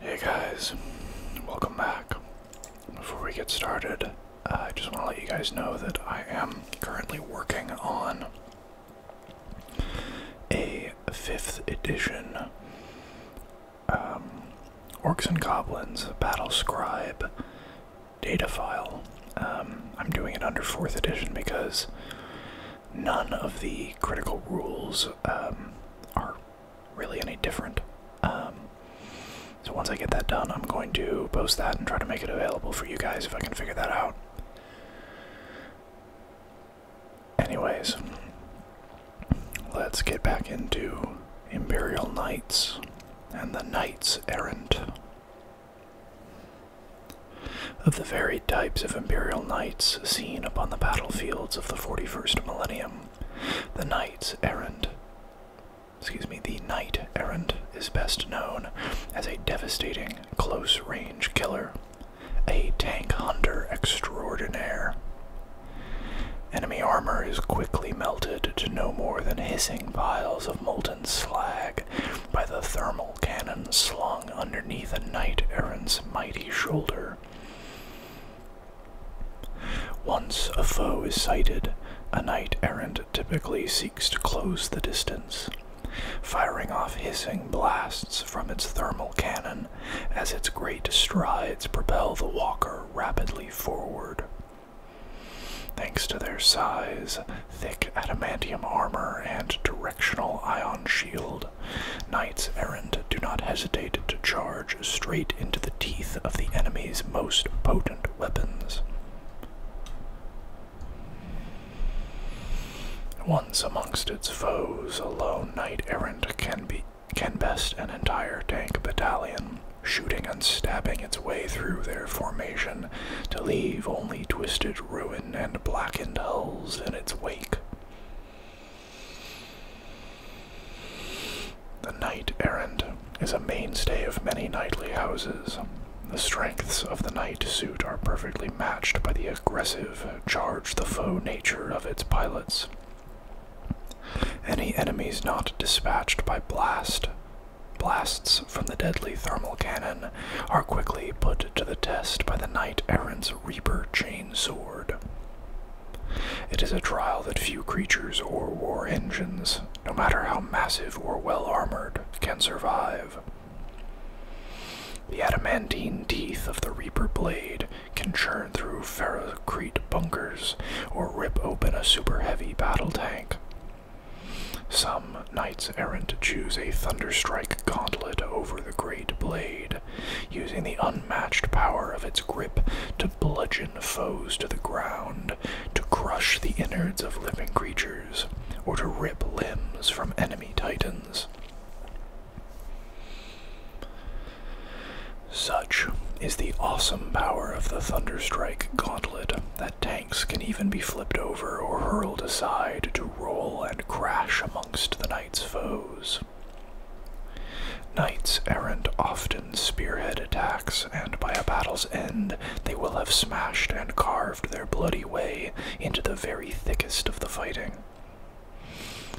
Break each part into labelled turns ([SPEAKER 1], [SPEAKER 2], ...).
[SPEAKER 1] Hey guys, welcome back. Before we get started, uh, I just want to let you guys know that I am currently working on a 5th edition um, Orcs and Goblins Battle Scribe data file. Um, I'm doing it under 4th edition because none of the critical rules um, are really any different. Um, so once I get that done, I'm going to post that and try to make it available for you guys if I can figure that out. Anyways, let's get back into Imperial Knights and the Knights Errant of the varied types of imperial knights seen upon the battlefields of the 41st millennium. The knights errant, excuse me, the knight errant is best known as a devastating close range killer, a tank hunter extraordinaire. Enemy armor is quickly melted to no more than hissing piles of molten slag by the thermal cannon slung underneath a knight errant's mighty shoulder. Once a foe is sighted, a knight errant typically seeks to close the distance, firing off hissing blasts from its thermal cannon as its great strides propel the walker rapidly forward. Thanks to their size, thick adamantium armor, and directional ion shield, Knights errant do not hesitate to charge straight into the teeth of the enemy's most potent weapons. Once amongst its foes, a lone knight errant can be can best an entire tank battalion, shooting and stabbing its way through their formation to leave only twisted ruin and blackened hulls in its wake. The knight errant is a mainstay of many knightly houses. The strengths of the knight suit are perfectly matched by the aggressive, charge the foe nature of its pilots. Any enemies not dispatched by blast, blasts from the deadly thermal cannon, are quickly put to the test by the knight errant's Reaper chain sword. It is a trial that few creatures or war engines, no matter how massive or well armored, can survive. The adamantine teeth of the Reaper blade can churn through ferrocrete bunkers or rip open a super heavy battle tank. Some knights errant choose a thunderstrike gauntlet over the great blade using the unmatched power of its grip to bludgeon foes to the ground, to crush the innards of living creatures, or to rip limbs from enemy titans. Such is the awesome power of the Thunderstrike gauntlet that tanks can even be flipped over or hurled aside to roll and crash amongst the knight's foes. Knights errant often spearhead attacks, and by a battle's end, they will have smashed and carved their bloody way into the very thickest of the fighting.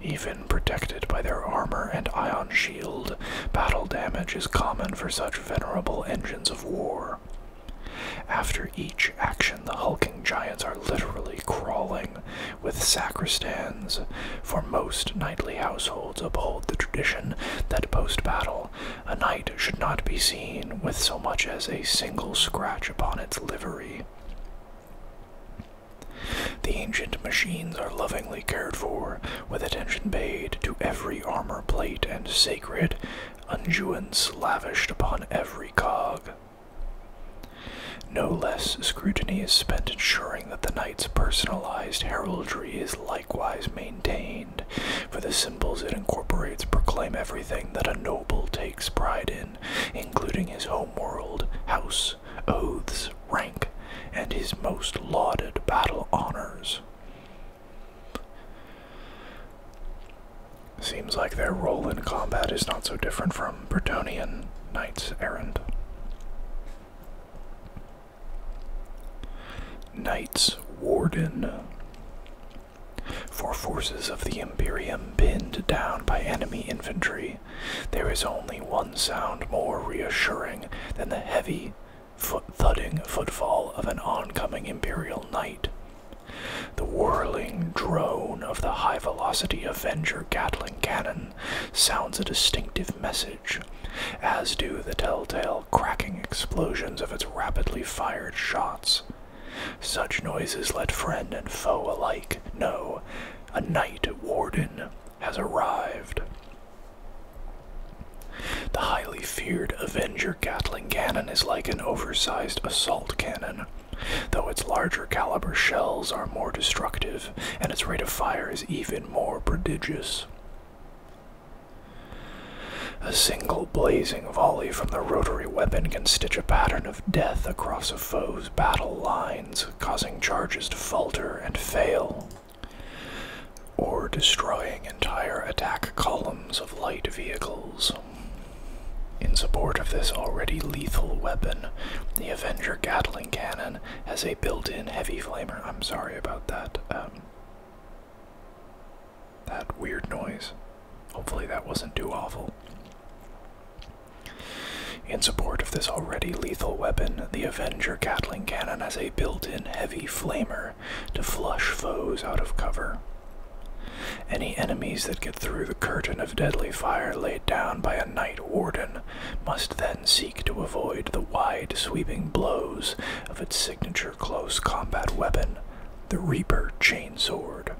[SPEAKER 1] Even protected by their armor and ion shield, battle damage is common for such venerable engines of war. After each action, the hulking giants are literally crawling with sacristans. For most knightly households uphold the tradition that post battle a knight should not be seen with so much as a single scratch upon its livery. The ancient machines are lovingly cared for, with attention paid to every armor plate and sacred unguents lavished upon every cog. No less scrutiny is spent ensuring that the knight's personalized heraldry is likewise maintained, for the symbols it incorporates proclaim everything that a noble takes pride in, including his homeworld, house, oaths, rank, and his most lauded battle honors. Seems like their role in combat is not so different from Bretonian knights errant. Knights Warden. For forces of the Imperium pinned down by enemy infantry, there is only one sound more reassuring than the heavy, thudding footfall of an oncoming Imperial knight the whirling drone of the high velocity Avenger Gatling cannon sounds a distinctive message, as do the telltale cracking explosions of its rapidly fired shots. Such noises let friend and foe alike know a night warden has arrived. The highly feared Avenger Gatling cannon is like an oversized assault cannon, Though its larger caliber shells are more destructive, and its rate of fire is even more prodigious. A single blazing volley from the rotary weapon can stitch a pattern of death across a foe's battle lines, causing charges to falter and fail, or destroying entire attack columns of light vehicles. In support of this already lethal weapon, the Avenger Gatling cannon has a built-in heavy flamer. I'm sorry about that. Um, that weird noise. Hopefully that wasn't too awful. In support of this already lethal weapon, the Avenger Gatling cannon has a built-in heavy flamer to flush foes out of cover. Any enemies that get through the curtain of deadly fire laid down by a night warden must then seek to avoid the wide sweeping blows of its signature close combat weapon, the Reaper Chain Sword.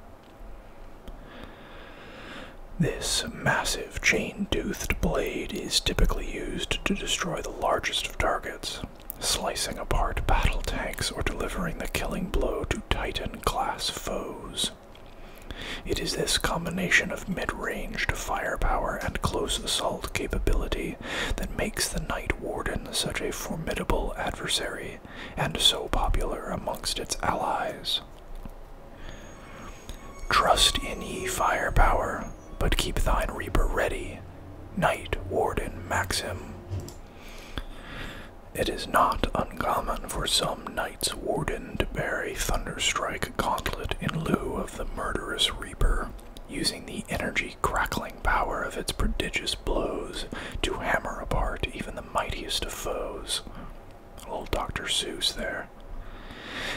[SPEAKER 1] This massive chain toothed blade is typically used to destroy the largest of targets, slicing apart battle tanks or delivering the killing blow to Titan class foes. It is this combination of mid range firepower and close assault capability that makes the Night Warden such a formidable adversary and so popular amongst its allies. Trust in ye firepower, but keep thine reaper ready. Night Warden Maxim. It is not uncommon for some knight's warden to bear a thunderstrike gauntlet in lieu of the murderous reaper, using the energy crackling power of its prodigious blows to hammer apart even the mightiest of foes. Old Dr. Seuss there.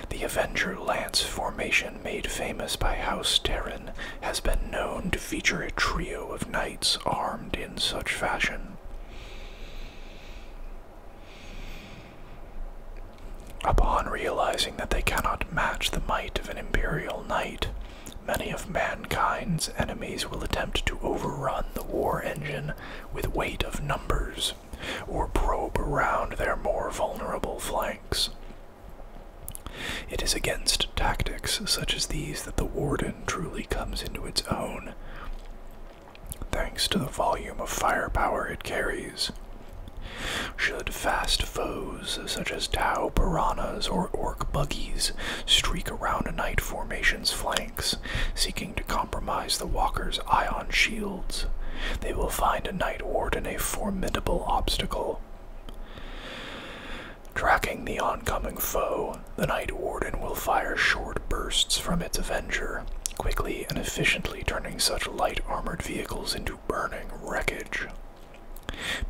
[SPEAKER 1] The Avenger Lance formation, made famous by House Terran, has been known to feature a trio of knights armed in in such fashion. Upon realizing that they cannot match the might of an imperial knight, many of mankind's enemies will attempt to overrun the war engine with weight of numbers, or probe around their more vulnerable flanks. It is against tactics such as these that the Warden truly comes into its own thanks to the volume of firepower it carries. Should fast foes such as Tau piranhas or orc buggies streak around a knight formation's flanks, seeking to compromise the walker's ion shields, they will find a knight warden a formidable obstacle. Tracking the oncoming foe, the knight Warden will fire short bursts from its Avenger, quickly and efficiently turning such light armored vehicles into burning wreckage.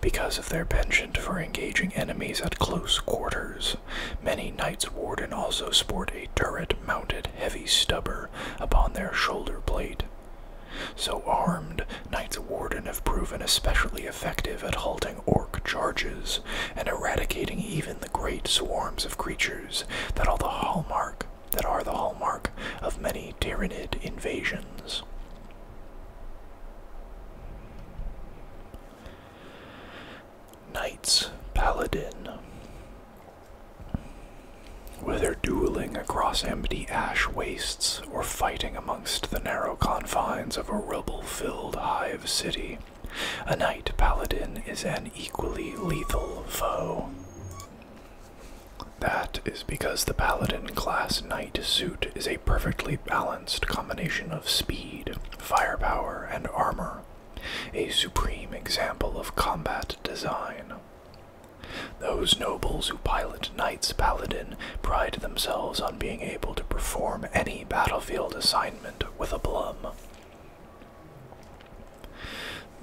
[SPEAKER 1] Because of their penchant for engaging enemies at close quarters, many Knights Warden also sport a turret mounted heavy stubber upon their shoulder plate. So armed, Knight's Warden have proven especially effective at halting orc charges and eradicating even the great swarms of creatures that are the hallmark that are the hallmark of many Tyranid invasions. Knights Paladin. Whether dueling across empty ash wastes or fighting amongst the narrow confines of a rubble filled hive city, a knight paladin is an equally lethal foe. That is because the Paladin class knight suit is a perfectly balanced combination of speed, firepower, and armor, a supreme example of combat design. Those nobles who pilot Knights Paladin pride themselves on being able to perform any battlefield assignment with aplomb.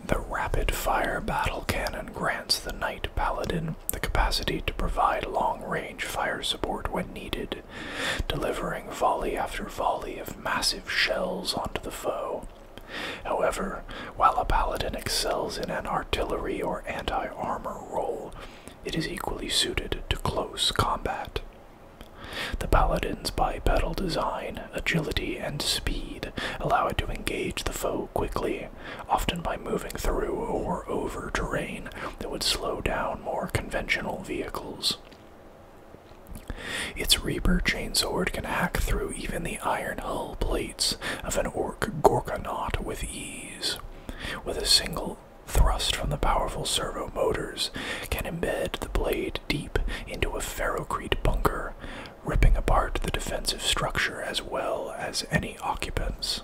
[SPEAKER 1] The rapid fire battle cannon grants the Knight Paladin the capacity to provide long range fire support when needed, delivering volley after volley of massive shells onto the foe. However, while a paladin excels in an artillery or anti armor role, it is equally suited to close combat. The paladin's bipedal design, agility, and speed allow it to engage the foe quickly, often by moving through or over terrain that would slow down more conventional vehicles. Its Reaper chainsword can hack through even the iron hull plates of an orc Gorgonaut with ease. With a single Thrust from the powerful servo motors can embed the blade deep into a ferrocrete bunker, ripping apart the defensive structure as well as any occupants.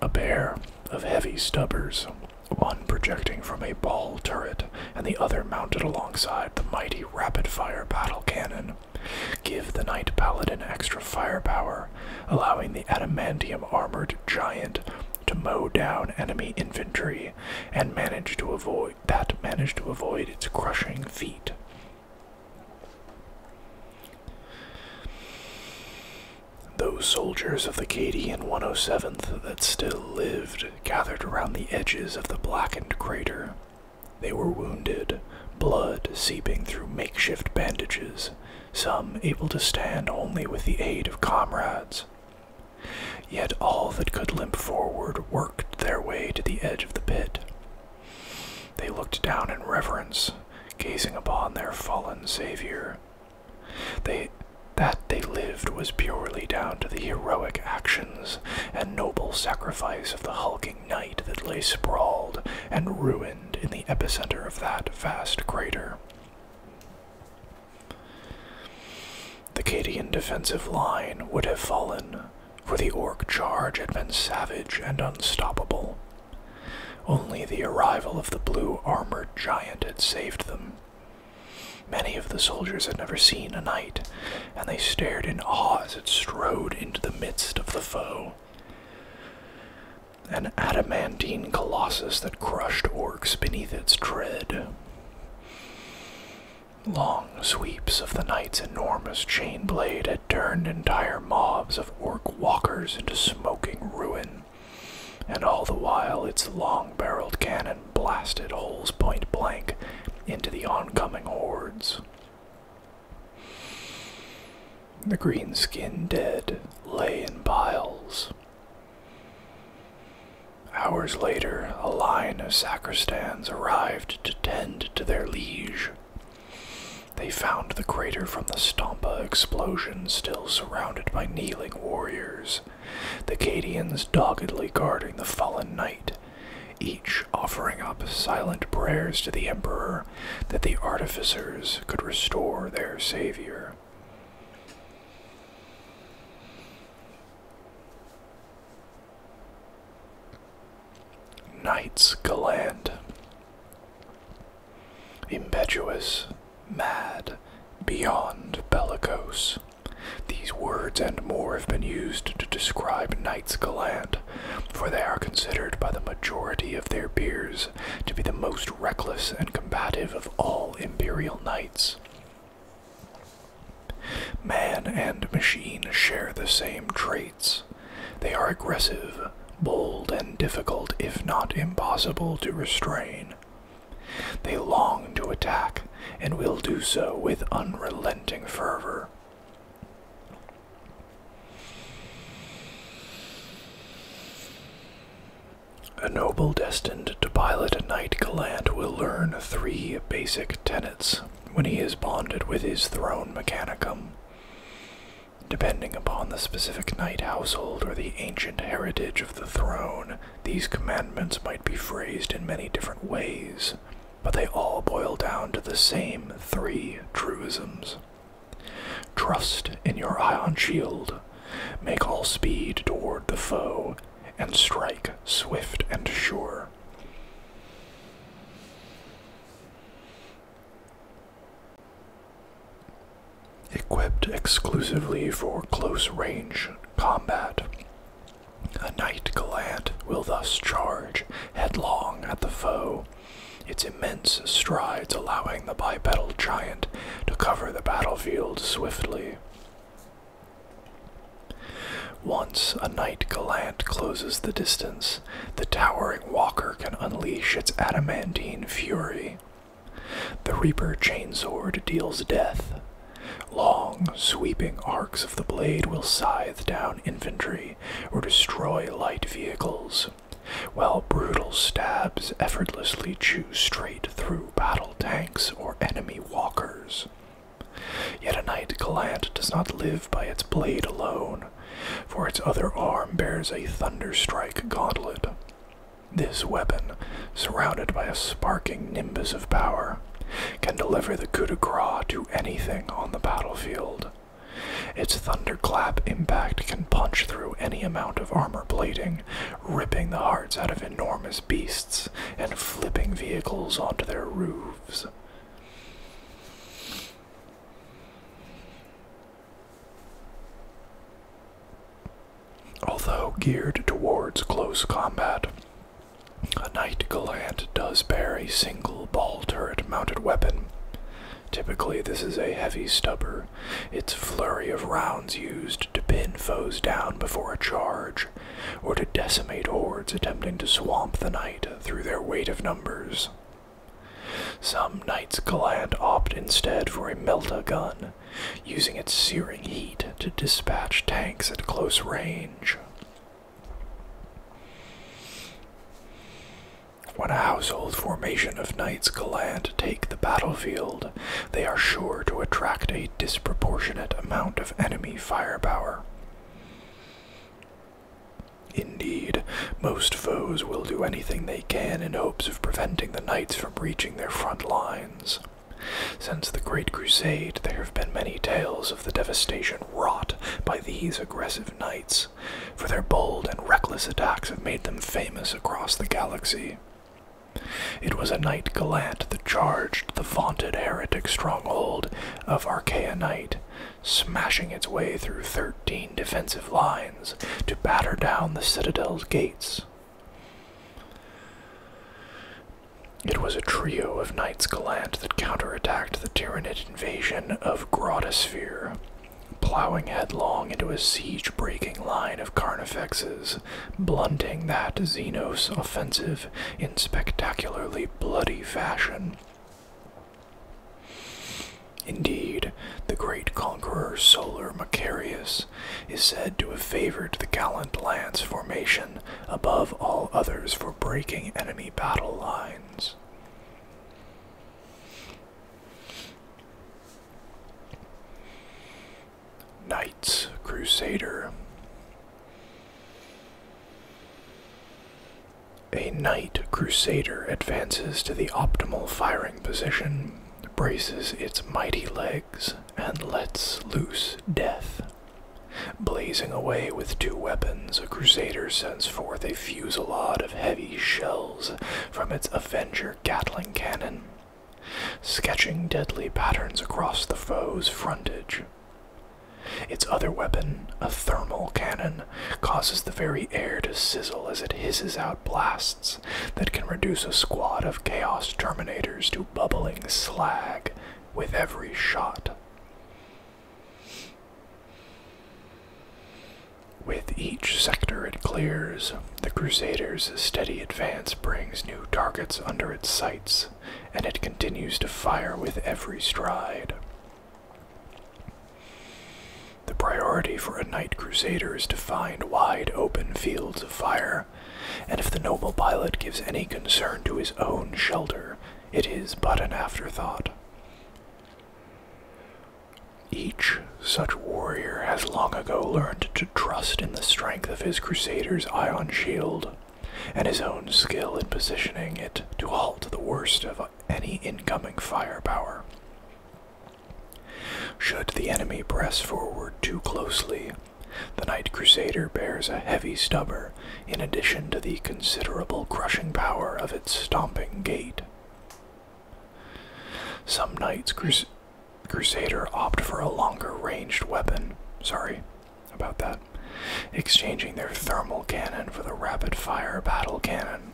[SPEAKER 1] A pair of heavy stubbers, one projecting from a ball turret and the other mounted alongside the mighty rapid fire battle cannon, Give the Knight Paladin extra firepower, allowing the adamantium armored giant to mow down enemy infantry and manage to avoid that manage to avoid its crushing feet. Those soldiers of the Kadian 107th that still lived gathered around the edges of the blackened crater, they were wounded, blood seeping through makeshift bandages, some able to stand only with the aid of comrades. Yet all that could limp forward worked their way to the edge of the pit. They looked down in reverence, gazing upon their fallen savior. They, that they lived was purely down to the heroic actions and noble sacrifice of the hulking surrounding night that lay sprawled and ruined in the epicenter of that vast crater. The Kadian defensive line would have fallen, for the orc charge had been savage and unstoppable. Only the arrival of the blue armored giant had saved them. Many of the soldiers had never seen a knight, and they stared in awe as it strode into the midst of the foe. An adamantine colossus that crushed orcs beneath its tread. Long sweeps of the knight's enormous chain blade had turned entire mobs of orc walkers into smoking ruin, and all the while its long barreled cannon blasted holes point blank into the oncoming hordes. The green skin dead lay in piles. Hours later, a line of sacristans arrived to tend to their liege. They found the crater from the Stampa explosion still surrounded by kneeling warriors, the Cadians doggedly guarding the fallen knight each offering up silent prayers to the emperor that the artificers could restore their savior. Knights Galand. Impetuous, mad, beyond bellicose. These words and more have been used to describe Knights Galand, for they are considered by the majority of their peers to be the most reckless and combative of all imperial knights. Man and machine share the same traits. They are aggressive, bold, and difficult, if not impossible, to restrain. They long to attack and will do so with unrelenting fervor. A noble destined to pilot a knight gallant will learn three basic tenets when he is bonded with his throne mechanicum. Depending upon the specific knight household or the ancient heritage of the throne, these commandments might be phrased in many different ways but they all boil down to the same three truisms Trust in your ion shield, make all speed toward the foe, and strike swift and sure. Equipped exclusively for close range combat, a knight gallant will thus charge headlong at the foe, its immense strides allowing the bipedal giant to cover the battlefield swiftly. Once a knight gallant closes the distance, the towering walker can unleash its adamantine fury. The Reaper chain sword deals death. Long, sweeping arcs of the blade will scythe down infantry or destroy light vehicles, while brutal stabs effortlessly chew straight through battle tanks or enemy walkers. Yet a knight gallant does not live by its blade alone, for its other arm bears a thunderstrike gauntlet. This weapon, surrounded by a sparking nimbus of power, can deliver the coup de grace to anything on the battlefield. Its thunderclap impact can punch through any amount of armor plating, ripping the hearts out of enormous beasts and flipping vehicles onto their roofs. Although geared towards close combat, a knight gallant does bear a single ball turret mounted weapon. Typically, this is a heavy stubber, its flurry of rounds used to pin foes down before a charge, or to decimate hordes attempting to swamp the knight through their weight of numbers. Some knights gallant opt instead for a melta gun, using its searing heat to dispatch tanks at close range. When a household formation of knights gallant take the battlefield, they are sure to attract a disproportionate amount of enemy firepower. Indeed, most foes will do anything they can in hopes of preventing the knights from reaching their front lines. Since the Great Crusade, there have been many tales the devastation wrought by these aggressive knights, for their bold and reckless attacks have made them famous across the galaxy. It was a knight gallant that charged the vaunted heretic stronghold of Archaea smashing its way through thirteen defensive lines to batter down the citadel's gates. It was a trio of knights gallant that counterattacked the Tyranid invasion of Grotosphere, plowing headlong into a siege breaking line of Carnifexes, blunting that Xenos offensive in spectacularly bloody fashion. Indeed, the great conqueror Solar Macarius is said to have favored the gallant lance formation above all others for breaking enemy battle lines. Knights Crusader. A Knight Crusader advances to the optimal firing position, braces its mighty legs, and lets loose death. Blazing away with two weapons, a crusader sends forth a fusillade of heavy shells from its Avenger Gatling cannon, sketching deadly patterns across the foe's frontage. Its other weapon, a thermal cannon, causes the very air to sizzle as it hisses out blasts that can reduce a squad of Chaos Terminators to bubbling slag with every shot. With each sector it clears, the Crusaders' steady advance brings new targets under its sights, and it continues to fire with every stride. The priority for a knight crusader is to find wide open fields of fire, and if the noble pilot gives any concern to his own shelter, it is but an afterthought. Each such warrior has long ago learned to trust in the strength of his crusader's iron shield and his own skill in positioning it to halt the worst of any incoming firepower. Should the enemy press forward too closely, the knight Crusader bears a heavy stubber in addition to the considerable crushing power of its stomping gait. Some Knights Crusader opt for a longer ranged weapon. Sorry about that. Exchanging their thermal cannon for the rapid fire battle cannon.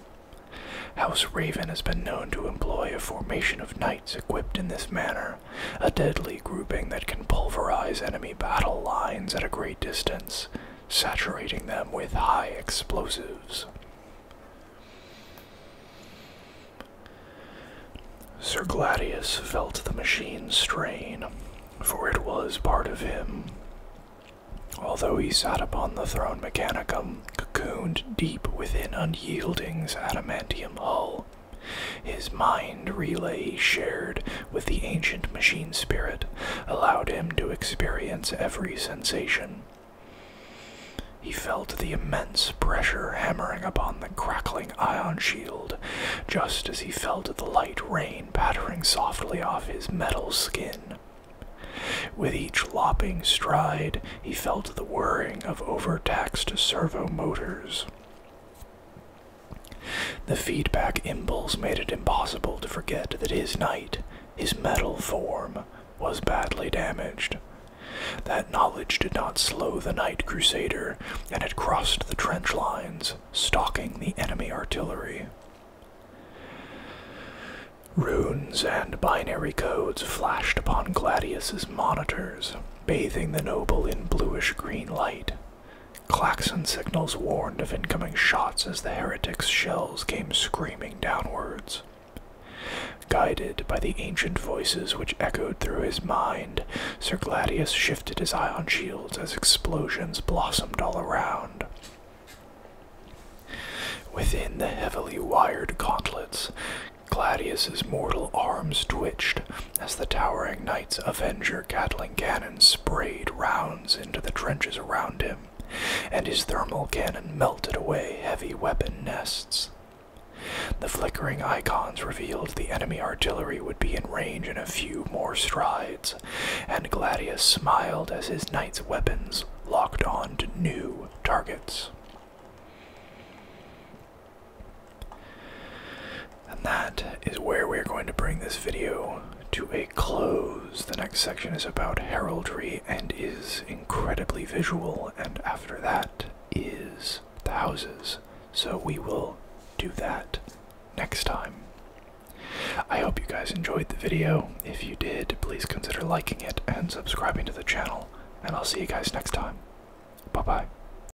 [SPEAKER 1] House Raven has been known to employ a formation of knights equipped in this manner a deadly grouping that can pulverize enemy battle lines at a great distance, saturating them with high explosives. Sir Gladius felt the machine strain, for it was part of him. Although he sat upon the throne mechanicum, cocooned deep within unyielding's adamantium hull, his mind relay shared with the ancient machine spirit allowed him to experience every sensation. He felt the immense pressure hammering upon the crackling ion shield, just as he felt the light rain pattering softly off his metal skin. With each lopping stride, he felt the whirring of overtaxed servo motors. The feedback impulse made it impossible to forget that his knight, his metal form, was badly damaged. That knowledge did not slow the knight crusader and it crossed the trench lines, stalking the enemy artillery. Runes and binary codes flashed upon Gladius's monitors, bathing the noble in bluish green light. Klaxon signals warned of incoming shots as the heretics' shells came screaming downwards. Guided by the ancient voices which echoed through his mind, Sir Gladius shifted his eye shields as explosions blossomed all around. Within the heavily wired gauntlets, Gladius's mortal arms twitched as the towering knight. Avenger Gatling cannon sprayed rounds into the trenches around him, and his thermal cannon melted away heavy weapon nests. The flickering icons revealed the enemy artillery would be in range in a few more strides, and Gladius smiled as his knight's weapons locked on to new targets. And that is where we're going to bring this video to a close. The next section is about heraldry and is incredibly visual, and after that is the houses. So we will do that next time. I hope you guys enjoyed the video. If you did, please consider liking it and subscribing to the channel, and I'll see you guys next time. Bye bye.